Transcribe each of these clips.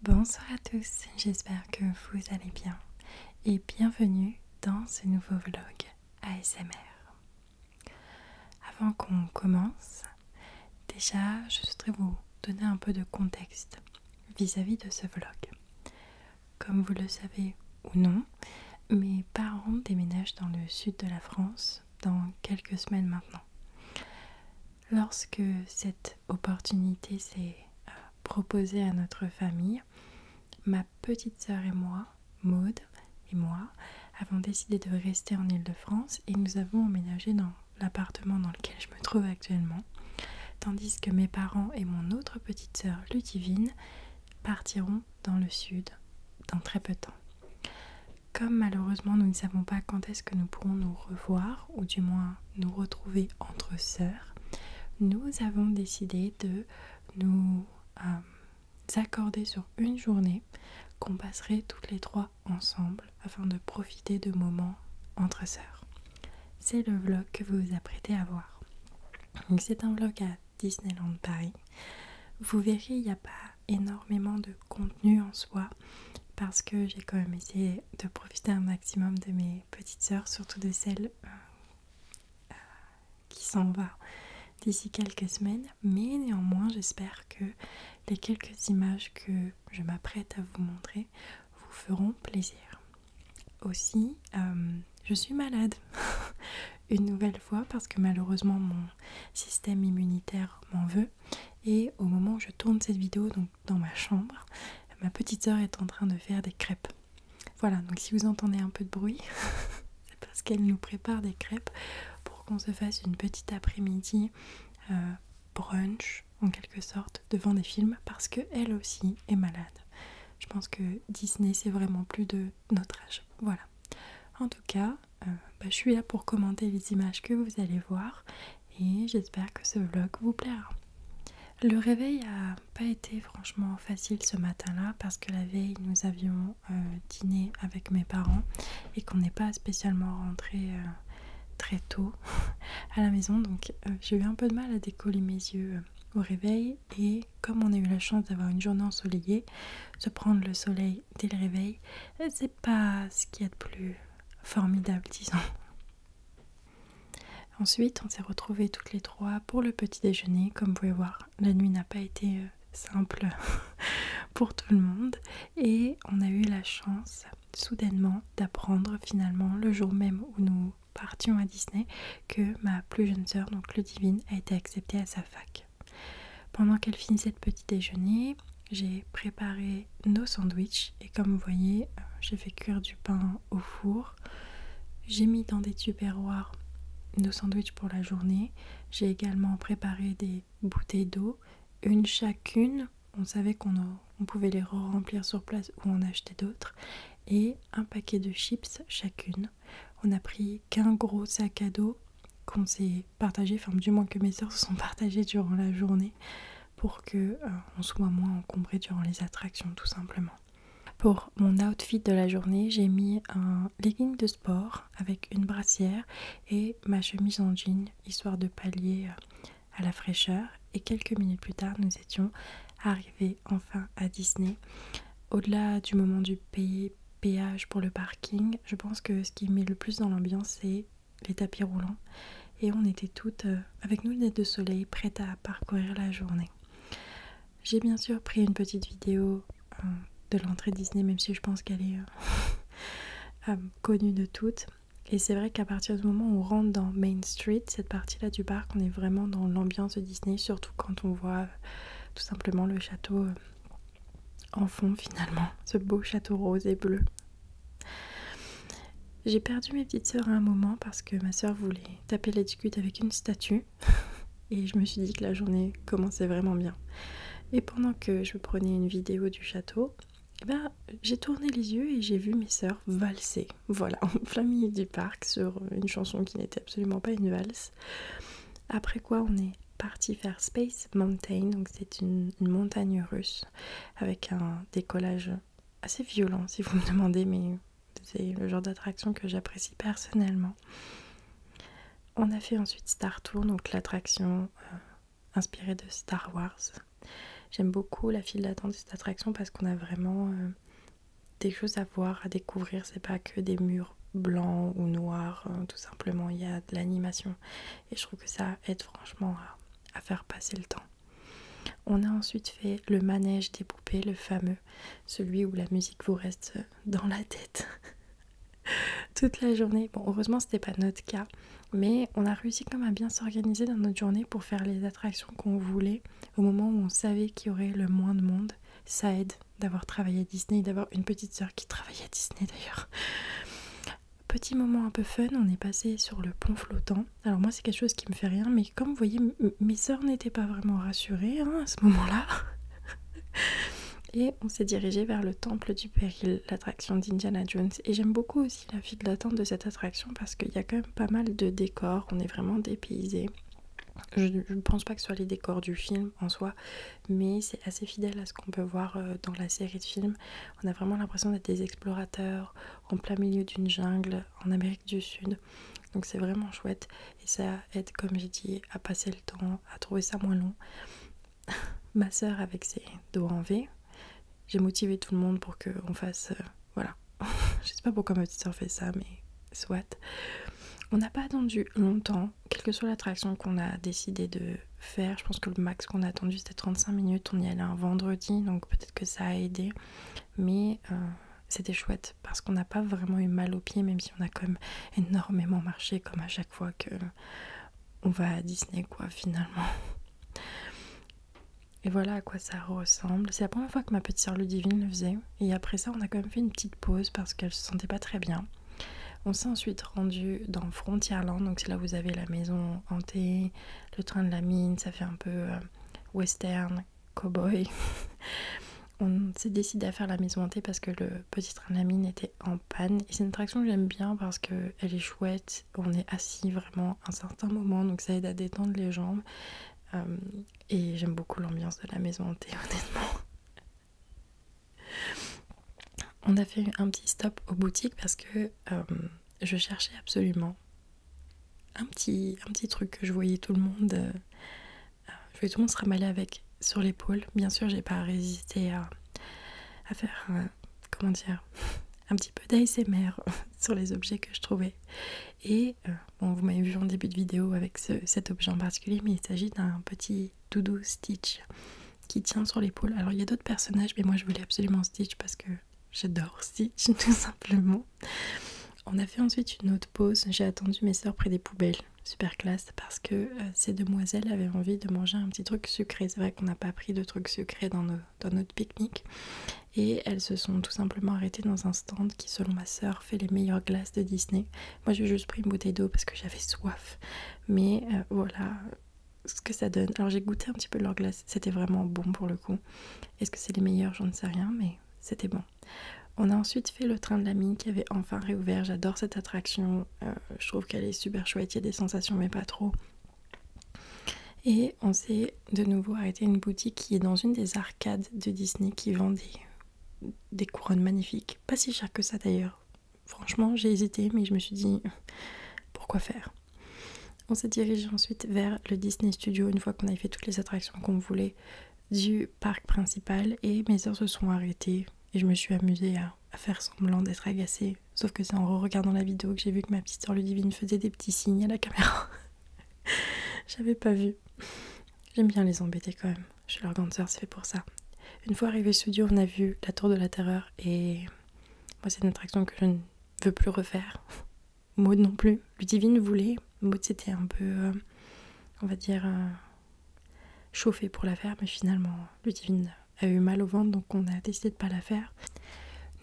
Bonsoir à tous, j'espère que vous allez bien et bienvenue dans ce nouveau vlog ASMR. Avant qu'on commence, déjà je souhaiterais vous donner un peu de contexte vis-à-vis -vis de ce vlog. Comme vous le savez ou non, mes parents déménagent dans le sud de la France dans quelques semaines maintenant. Lorsque cette opportunité s'est euh, proposée à notre famille, ma petite sœur et moi, Maud et moi, avons décidé de rester en ile de france et nous avons emménagé dans l'appartement dans lequel je me trouve actuellement, tandis que mes parents et mon autre petite sœur, Ludivine, partiront dans le sud dans très peu de temps. Comme malheureusement nous ne savons pas quand est-ce que nous pourrons nous revoir, ou du moins nous retrouver entre sœurs, nous avons décidé de nous euh, accorder sur une journée qu'on passerait toutes les trois ensemble afin de profiter de moments entre sœurs. C'est le vlog que vous vous apprêtez à voir. C'est un vlog à Disneyland Paris. Vous verrez, il n'y a pas énormément de contenu en soi parce que j'ai quand même essayé de profiter un maximum de mes petites sœurs, surtout de celles euh, qui s'en va d'ici quelques semaines. Mais néanmoins, j'espère que les quelques images que je m'apprête à vous montrer vous feront plaisir. Aussi, euh, je suis malade une nouvelle fois parce que malheureusement mon système immunitaire m'en veut et au moment où je tourne cette vidéo, donc dans ma chambre, ma petite sœur est en train de faire des crêpes. Voilà, donc si vous entendez un peu de bruit, c'est parce qu'elle nous prépare des crêpes pour qu'on se fasse une petite après-midi euh, brunch en quelque sorte devant des films parce qu'elle aussi est malade. Je pense que Disney c'est vraiment plus de notre âge. Voilà. En tout cas, euh, bah, je suis là pour commenter les images que vous allez voir et j'espère que ce vlog vous plaira. Le réveil n'a pas été franchement facile ce matin-là parce que la veille nous avions euh, dîné avec mes parents et qu'on n'est pas spécialement rentré euh, très tôt à la maison donc j'ai eu un peu de mal à décoller mes yeux au réveil et comme on a eu la chance d'avoir une journée ensoleillée, se prendre le soleil dès le réveil, c'est pas ce qu'il y a de plus formidable, disons. Ensuite, on s'est retrouvés toutes les trois pour le petit déjeuner. Comme vous pouvez voir, la nuit n'a pas été euh, simple pour tout le monde. Et on a eu la chance, soudainement, d'apprendre finalement, le jour même où nous partions à Disney, que ma plus jeune sœur, donc le divine, a été acceptée à sa fac. Pendant qu'elle finissait le petit déjeuner, j'ai préparé nos sandwichs et comme vous voyez, euh, j'ai fait cuire du pain au four. J'ai mis dans des tupperwares nos sandwichs pour la journée. J'ai également préparé des bouteilles d'eau, une chacune. On savait qu'on pouvait les remplir sur place ou en acheter d'autres. Et un paquet de chips chacune. On a pris qu'un gros sac à dos qu'on s'est partagé, du moins que mes se sont partagées durant la journée pour que euh, on soit moins encombré durant les attractions tout simplement. Pour mon outfit de la journée, j'ai mis un legging de sport avec une brassière et ma chemise en jean histoire de pallier euh, à la fraîcheur et quelques minutes plus tard, nous étions arrivés enfin à Disney. Au-delà du moment du péage pour le parking, je pense que ce qui met le plus dans l'ambiance, c'est les tapis roulants. Et on était toutes euh, avec nous lunettes de soleil, prêtes à parcourir la journée. J'ai bien sûr pris une petite vidéo euh, de l'entrée Disney, même si je pense qu'elle est euh, connue de toutes. Et c'est vrai qu'à partir du moment où on rentre dans Main Street, cette partie-là du parc, on est vraiment dans l'ambiance de Disney, surtout quand on voit tout simplement le château en fond finalement, ce beau château rose et bleu. J'ai perdu mes petites sœurs à un moment parce que ma sœur voulait taper la avec une statue et je me suis dit que la journée commençait vraiment bien. Et pendant que je prenais une vidéo du château, eh ben, j'ai tourné les yeux et j'ai vu mes sœurs valser. Voilà, en plein du parc sur une chanson qui n'était absolument pas une valse. Après quoi, on est parti faire Space Mountain, donc c'est une, montagne russe avec un décollage assez violent si vous me demandez, mais c'est le genre d'attraction que j'apprécie personnellement. On a fait ensuite Star Tour, donc l'attraction euh, inspirée de Star Wars. J'aime beaucoup la file d'attente de cette attraction parce qu'on a vraiment euh, des choses à à voir, à découvrir. C'est pas que des murs blancs ou noirs, hein, tout simplement. Il y a de l'animation et je trouve que ça aide franchement à, à faire passer le temps. On a ensuite fait le manège des poupées, le fameux, celui où la musique vous reste dans la tête toute la journée. Bon, heureusement, c'était pas notre cas, mais on a réussi quand même à bien s'organiser dans notre journée pour faire les attractions qu'on voulait au moment où on savait qu'il y aurait le moins de monde. Ça aide d'avoir travaillé à Disney, d'avoir une petite sœur qui travaille à Disney d'ailleurs. Petit moment un peu fun, on est passé sur le pont flottant. Alors moi c'est quelque chose qui me fait rien, mais comme vous voyez, mes sœurs n'étaient pas vraiment rassurées hein, à ce moment-là. Et on s'est dirigé vers le temple du péril, l'attraction d'Indiana Jones. Et j'aime beaucoup aussi la file d'attente de cette attraction parce qu'il y a quand même pas mal de décors, on est vraiment dépaysé. Je ne pense pas que ce soit les décors du film, en soi, mais c'est assez fidèle à ce qu'on peut voir euh, dans la série de films. On a vraiment l'impression d'être des explorateurs en plein milieu d'une jungle en Amérique du Sud. Donc c'est vraiment chouette et ça aide, comme j'ai dit, à passer le temps, à trouver ça moins long. Ma soeur avec ses doigts en V, j'ai motivé tout le monde pour qu'on fasse... Euh, voilà. Je sais pas pourquoi ma petite sœur fait ça, mais soit. On n'a pas attendu longtemps, quelle que soit l'attraction qu'on a décidé de faire. Je pense que le max qu'on a attendu c'était 35 minutes. On y allait un vendredi, donc peut-être que ça a aidé. Mais euh, c'était chouette parce qu'on n'a pas vraiment eu mal aux pieds, même si on a quand même énormément marché, comme à chaque fois que on va à Disney, quoi, finalement. Et voilà à quoi ça ressemble. C'est la première fois que ma petite sœur Ludivine le faisait et après ça on a quand même fait une petite pause parce qu'elle se sentait pas très bien. On s'est ensuite rendu dans Frontierland, donc c'est là où vous avez la maison hantée, le train de la mine, ça fait un peu euh, western, cowboy. on s'est décidé à faire la maison hantée parce que le petit train de la mine était en panne. Et c'est une attraction que j'aime bien parce qu'elle est chouette, on est assis vraiment un certain moment, donc ça aide à détendre les jambes. Euh, et j'aime beaucoup l'ambiance de la maison hantée, honnêtement. On a fait un petit stop aux boutiques parce que euh, je cherchais absolument un petit, un petit truc que je voyais tout le monde. Euh, je tout le monde se ramaller avec sur l'épaule. Bien sûr, j'ai pas résisté à, faire, comment dire, un petit peu d'ASMR sur les objets que je trouvais. Et euh, bon, vous m'avez vu en début de vidéo avec cet objet en particulier, mais il s'agit d'un petit doudou Stitch qui tient sur l'épaule. Alors il y a d'autres personnages, mais moi je voulais absolument Stitch parce que j'adore Stitch tout simplement. On a fait ensuite une autre pause. J'ai attendu mes soeurs près des poubelles. Super classe parce que euh, ces demoiselles avaient envie de manger un petit truc sucré. C'est vrai qu'on n'a pas pris de trucs sucrés dans, notre pique-nique. Et elles se sont tout simplement arrêtées dans un stand qui, selon ma soeur fait les meilleures glaces de Disney. Moi j'ai juste pris une bouteille d'eau parce que j'avais soif. Mais euh, voilà ce que ça donne. Alors j'ai goûté un petit peu leur glace, c'était vraiment bon pour le coup. Est-ce que c'est les meilleurs J'en sais rien, mais c'était bon. On a ensuite fait le train de la mine qui avait enfin réouvert. J'adore cette attraction. Euh, je trouve qu'elle est super chouette. Il y a des sensations, mais pas trop. Et on s'est de nouveau arrêté une boutique qui est dans une des arcades de Disney qui vend des, couronnes magnifiques. Pas si cher que ça d'ailleurs. Franchement, j'ai hésité, mais je me suis dit pourquoi faire On s'est dirigé ensuite vers le Disney Studio une fois qu'on avait fait toutes les attractions qu'on voulait du parc principal et mes heures se sont arrêtées et je me suis amusée à, faire semblant d'être agacée. Sauf que c'est en regardant la vidéo que j'ai vu que ma petite sœur Ludivine faisait des petits signes à la caméra. J'avais pas vu. J'aime bien les embêter quand même. chez leur grande soeur c'est fait pour ça. Une fois arrivé au studio, on a vu La Tour de la Terreur et moi, c'est une attraction que je ne veux plus refaire. Maud non plus. Ludivine voulait. Maud, c'était un peu, euh, on va dire, euh, chauffé pour la faire, mais finalement, Ludivine a eu mal au ventre, donc on a décidé de pas la faire.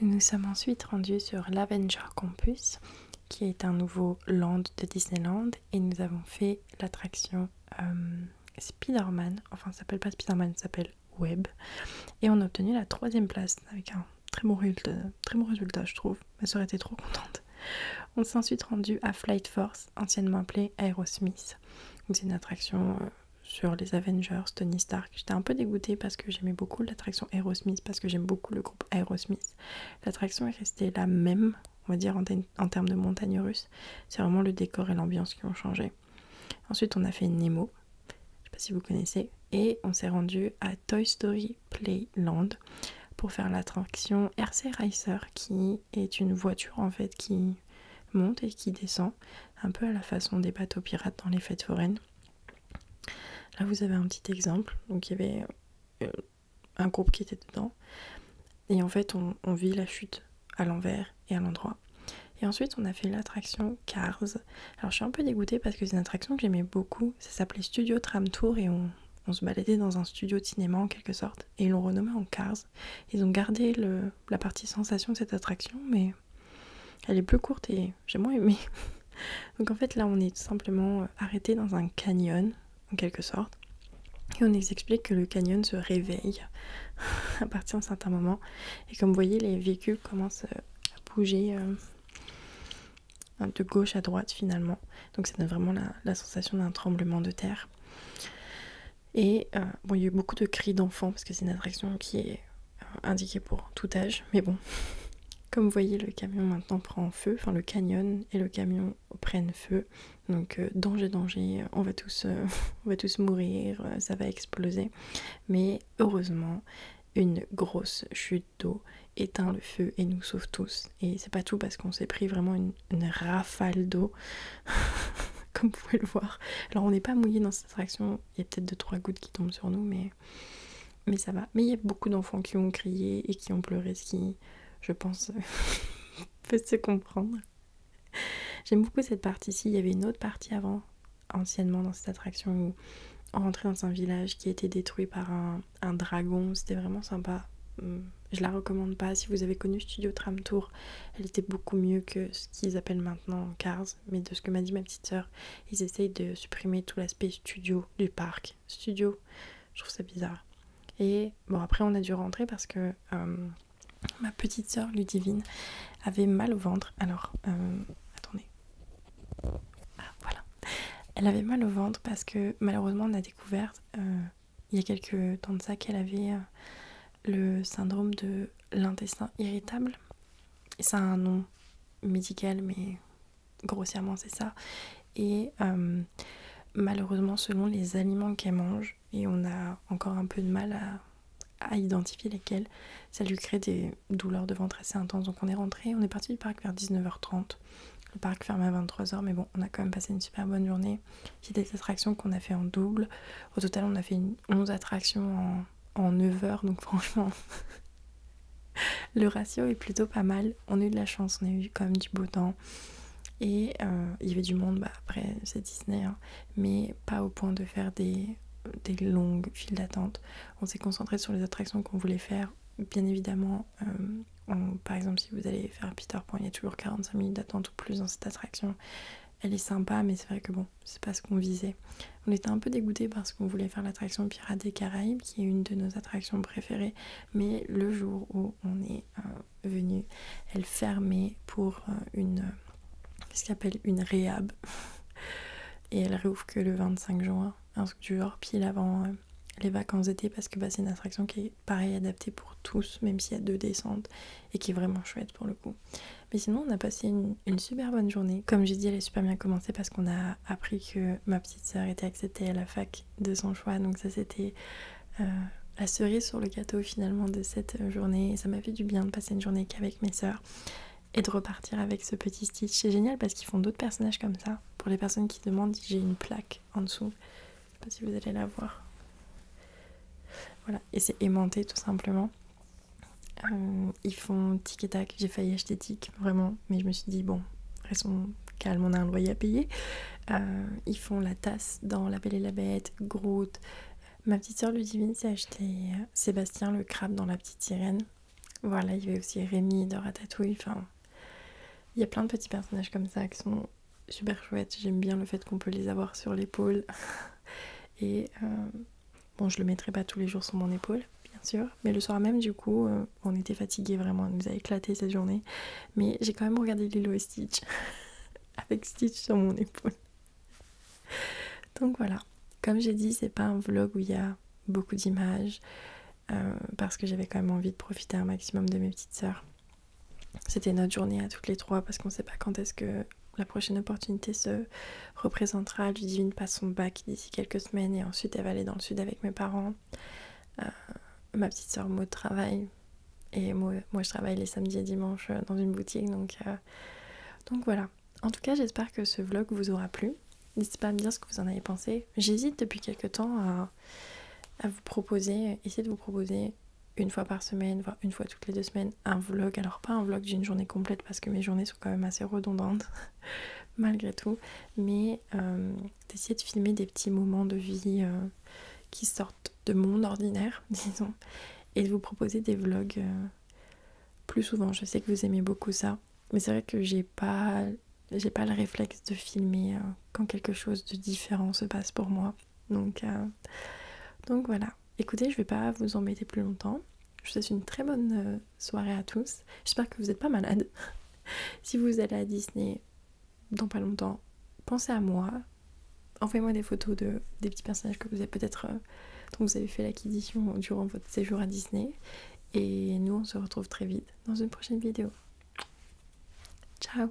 Nous nous sommes ensuite rendus sur l'Avenger Campus, qui est un nouveau land de Disneyland et nous avons fait l'attraction euh, Spider-Man, enfin ça s'appelle pas Spider-Man, ça s'appelle Web et on a obtenu la troisième place avec un très bon résultat, très bon résultat je trouve, ma soeur était trop contente. On s'est ensuite rendu à Flight Force, anciennement appelé Aerosmith, c'est une attraction... Euh, sur les Avengers, Tony Stark. J'étais un peu dégoûtée parce que j'aimais beaucoup l'attraction Aerosmith, parce que j'aime beaucoup le Aerosmith. L'attraction est restée la même, on va dire, en, termes de montagne russe. C'est vraiment le décor et l'ambiance qui ont changé. Ensuite, on a fait Nemo, je ne sais pas si vous connaissez, et on s'est rendu à Toy Story Playland pour faire l'attraction RC Racer, qui est une voiture en fait qui monte et qui descend, un peu à la façon des bateaux pirates dans les fêtes foraines. Là, vous avez un petit exemple. Donc, il y avait euh, un groupe qui était dedans. Et en fait, on, vit la chute à l'envers et à l'endroit. Et ensuite, on a fait l'attraction Cars. Alors, je suis un peu dégoûtée parce que c'est une attraction que j'aimais beaucoup. Ça s'appelait Studio Tram Tour et on, se baladait dans un studio de cinéma en quelque sorte. Et ils l'ont renommé en Cars. Ils ont gardé le, la partie sensation de cette attraction, mais elle est plus courte et j'ai moins aimé. Donc en fait là on est tout simplement euh, arrêté dans un canyon en quelque sorte. Et on explique que le canyon se réveille à partir d'un certain moment. Et comme vous voyez, les véhicules commencent euh, à bouger euh, de gauche à droite finalement. Donc ça donne vraiment la, sensation d'un tremblement de terre. Et bon, il y a eu beaucoup de cris d'enfants parce que c'est une attraction qui est indiquée pour tout âge. Mais bon, comme vous voyez, le camion maintenant prend feu, enfin le canyon et le camion prennent feu. Donc euh, danger, danger, on va, tous, euh, va tous mourir, euh, ça va exploser. Mais heureusement, une grosse chute d'eau éteint le feu et nous sauve tous. Et c'est pas tout parce qu'on s'est pris vraiment une, rafale d'eau. comme vous pouvez le voir. Alors on n'est pas mouillé dans cette attraction, il y a peut-être 2-3 gouttes qui tombent sur nous, mais mais, ça va. Mais il y a beaucoup d'enfants qui ont crié et qui ont pleuré, ce qui, je pense, peut se comprendre. J'aime beaucoup cette partie-ci. Il y avait une autre partie avant, anciennement, dans cette attraction où on rentrait dans un village qui a été détruit par un, un dragon. C'était vraiment sympa. Hum, je la recommande pas. Si vous avez connu Studio Tram Tour, elle était beaucoup mieux que ce qu'ils appellent maintenant Cars mais de ce que m'a dit ma petite sœur, ils essayent de supprimer tout l'aspect studio du parc. Studio, je trouve ça bizarre. Et bon, après, on a dû rentrer parce que euh, ma petite sœur Ludivine avait mal au ventre. Alors, euh, attendez. Ah, voilà. Elle avait mal au ventre parce que malheureusement, on a découvert euh, il y a quelques temps de ça qu'elle avait le syndrome de l'intestin irritable. Et ça a un nom médical mais grossièrement c'est ça. Et euh, malheureusement, selon les aliments qu'elle mange, et on a encore un peu de mal à, identifier lesquels, ça lui crée des douleurs de ventre assez intenses. Donc on est rentré, on est parti du parc vers 19h30. Le parc ferme à 23h, mais bon, on a quand même passé une super bonne journée. Il des attractions qu'on a fait en double. Au total, on a fait une 11 attractions en, 9 heures, donc franchement, le ratio est plutôt pas mal. On a eu de la chance, on a eu quand même du beau temps. Et euh, il y avait du monde, bah, après c'est Disney, hein. mais pas au point de faire des, longues files d'attente. On s'est concentré sur les attractions qu'on voulait faire. Bien évidemment, euh, par exemple, si vous allez faire Peter Pan, il y a toujours 45 minutes d'attente ou plus dans cette attraction. Elle est sympa, mais c'est vrai que bon, c'est pas ce qu'on visait. On était un peu dégoûtés parce qu'on voulait faire l'attraction Pirates des Caraïbes, qui est une de nos attractions préférées, mais le jour où on est euh, venu, elle fermait pour euh, une euh, ce une réhab, et elle réouvre que le 25 juin, un du genre pile avant les vacances d'été, parce que bah, c'est une attraction qui est pareil adaptée pour tous, même s'il y a deux descentes, et qui est vraiment chouette pour le mais sinon, on a passé une, super bonne journée. Comme j'ai dit, elle est super bien commencé parce qu'on a appris que ma petite soeur était acceptée à la fac de son choix. Donc ça, c'était euh, la cerise sur le gâteau finalement de cette euh, journée. Et ça m'a fait du bien de passer une journée qu'avec mes soeurs et de repartir avec ce petit Stitch. C'est génial parce qu'ils font d'autres personnages comme ça. Pour les personnes qui demandent, j'ai une plaque en dessous. Je sais pas si vous allez la voir. Voilà, et c'est aimanté tout simplement. Euh, ils font tic et tac, j'ai failli acheter tic, vraiment, mais je me suis dit, bon, restons calmes, on a un loyer à payer. Euh, ils font la tasse dans La Belle et la Bête, Groot. Ma petite soeur Ludivine s'est acheté euh, Sébastien le crabe dans La Petite Sirène. Voilà, il y avait aussi Rémi de Ratatouille, enfin, il y a plein de petits personnages comme ça qui sont super chouettes. J'aime bien le fait qu'on peut les avoir sur l'épaule. et... Bon, je le mettrai pas tous les jours sur mon épaule, bien sûr, mais le soir même, du coup, euh, on était fatigués vraiment, on nous a éclaté cette journée. Mais j'ai quand même regardé Lilo et Stitch avec Stitch sur mon épaule. Donc voilà, comme j'ai dit, c'est pas un vlog où il y a beaucoup d'images euh, parce que j'avais quand même envie de profiter un maximum de mes petites sœurs. C'était notre journée à toutes les trois parce qu'on sait pas quand est-ce que la prochaine opportunité se représentera. Ludivine passe son bac d'ici quelques semaines et ensuite elle va aller dans le sud avec mes parents. Euh, ma petite soeur Maud travaille et moi, je travaille les samedis et dimanches euh, dans une boutique euh, donc, voilà. En tout cas j'espère que ce vlog vous aura plu. N'hésitez pas à me dire ce que vous en avez pensé. J'hésite depuis quelques temps à vous proposer, essayer de vous proposer une fois par semaine, voire une fois toutes les deux semaines un vlog. Alors pas un vlog d'une journée complète parce que mes journées sont quand même assez redondantes malgré tout, mais euh, d'essayer de filmer des petits moments de vie euh, qui sortent de mon ordinaire, disons, et de vous proposer des vlogs euh, plus souvent. Je sais que vous aimez beaucoup ça, mais c'est vrai que j'ai pas j'ai pas le réflexe de filmer quand quelque chose de différent se passe pour moi. Euh, donc, voilà. Écoutez, je vais pas vous embêter plus longtemps. Je vous souhaite une très bonne euh, soirée à tous. J'espère que vous n'êtes pas malade. si vous allez à Disney dans pas longtemps, pensez à moi. Envoyez-moi des photos de, des petits personnages que vous avez peut-être euh, vous avez fait l'acquisition durant votre séjour à Disney. Et nous, on se retrouve très vite dans une prochaine vidéo. Ciao